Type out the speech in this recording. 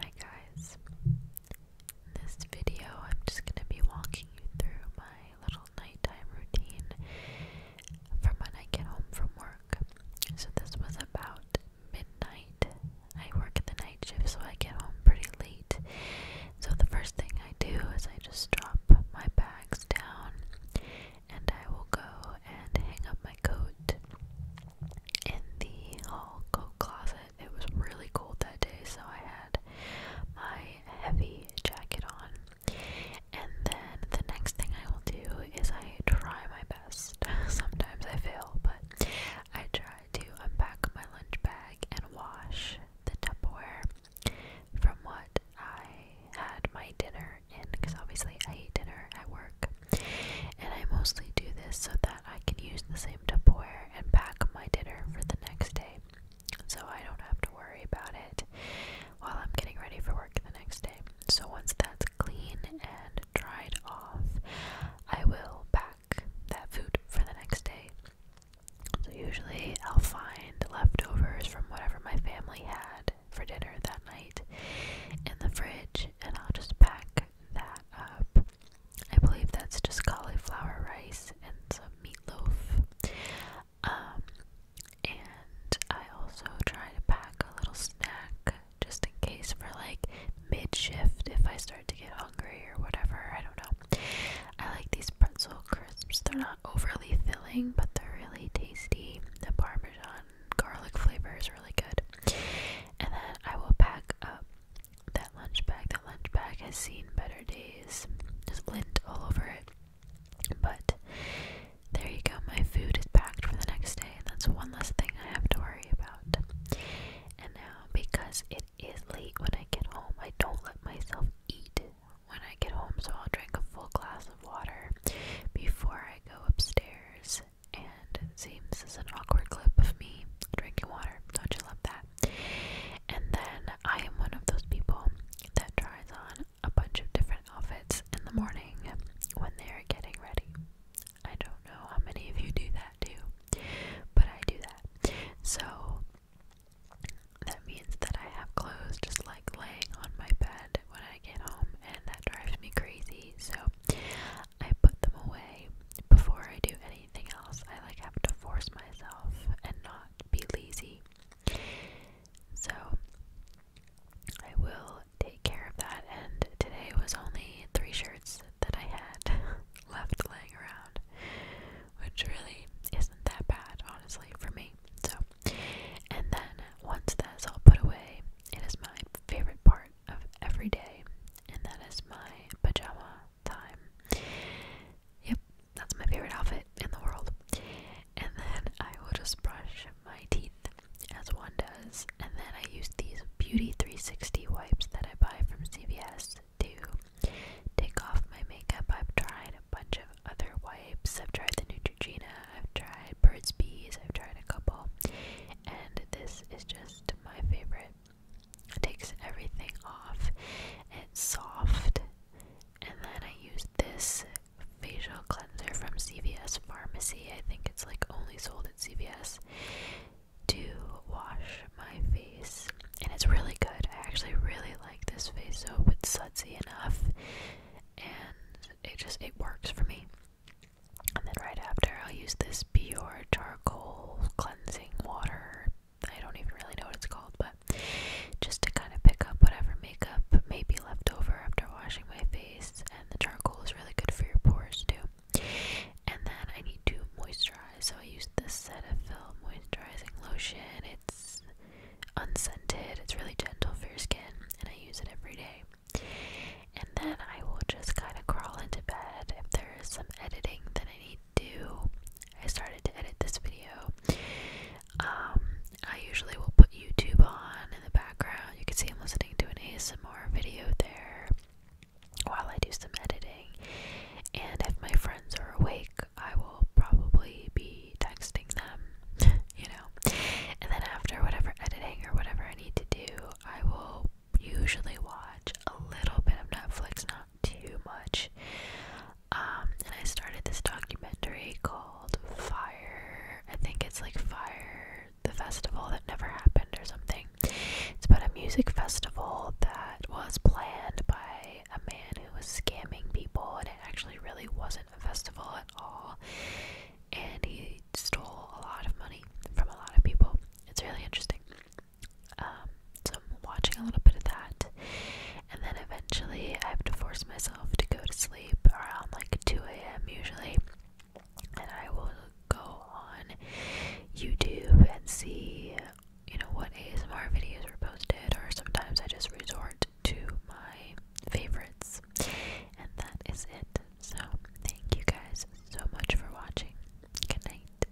Hi guys. In this video, I'm just going to be walking you through my little nighttime routine from when I get home from work. So this was about midnight. I work the night so I get home pretty late. So the first thing I do is I just drop my bags down and I will go and hang up my coat in the hall closet. It was really cold that day, so I had my heavy jacket on. And then the next thing I will do is I try my best. Sometimes I fail, but I try to unpack my lunch bag and wash the Tupperware from what I had my dinner in because obviously I eat dinner at work. And I mostly do this so that I can use the same Tupperware and pack my dinner for the next day so I don't have to worry about it while I'm getting ready for work the next day. So once that's clean and dried off, I will pack that food for the next day usually I'll find leftovers from whatever my family had for dinner that night in the fridge and I'll just pack that up. I believe that's just cauliflower rice and some meatloaf. Um and I also try to pack a little snack just in case for like mid shift if I start to get hungry or whatever. I don't know. I like these pretzel crisps. They're not overly filling, but they're really tasty. The parmesan garlic flavor is really good. And then I will pack up that lunch bag. That lunch bag has seen better days. There's lint all over it. But there you go, my food is packed for the next day, and that's one less thing I have to worry about. And now, because it is late when I get home. I don't let myself eat when I get home, so I'll drink a full glass of water before I go upstairs. And seems is an awkward clip of me drinking water. Don't you love that? And then I am one of those people that tries on a bunch of different outfits in the morning when they're getting ready. I don't know how many of you do that that But I do that. So that means that I have clothes just like laying on my bed when I get home, and that drives me crazy. So I put them away before I do anything else. I like have to force myself and not be lazy. So I will take care of that. And today was only three shirts that I had left laying around, which really isn't that bad, honestly, for me. So, and then once that's all put away, it is my favorite part of every day, and that is my pajama time. Yep, that's my favorite outfit in the world. And then I will just brush my teeth as one does, and then I use these Beauty 360 wipes that I buy from CVS to take off my makeup. I've tried a bunch of other wipes. I've tried the Neutrogena, I've tried Birds Bees, I've tried a couple, and this is just my favorite. It takes everything off. It's soft. And then I use this facial cleanser from CVS Pharmacy. I think it's like only sold at CVS to wash my face, and it's really good. I actually really like this face soap. It's sudsy enough, and it just it works for me. And then right after, I'll use this Bior charcoal cleansing water. I don't even really know what it's called, but just to kind of pick up whatever makeup may be left over after washing my face. And the charcoal is really good for your pores too. And then I need to moisturize, so I use the Cetaphil moisturizing lotion. It's unscented, it's really gentle for your skin, and I use it every day. And then I will just kind of crawl into bed. If there is some editing that I need to do, I started to edit this video. Um, I usually will put YouTube on in the background. You can see I'm listening to an ASMR video there while I do some editing. And if my friends are awake, I will probably be texting them, you know. And then after whatever editing or whatever I need to do, I will usually watch a little bit of Netflix, not too much. Um, and I started this documentary called Fire. I think it's like Fire the festival that never happened or something. It's about a music festival that was planned by a man who was scamming people, and it actually really wasn't a festival at all. And he stole a lot of money from a lot of people. It's really interesting. Um, so I'm watching a little bit of that, and then eventually I have to force myself to go to sleep around like 2 a.m. usually and I will go on YouTube and see, you know, what ASMR videos were posted, or sometimes I just resort to my favorites. And that is it. So, thank you guys so much for watching. Good night.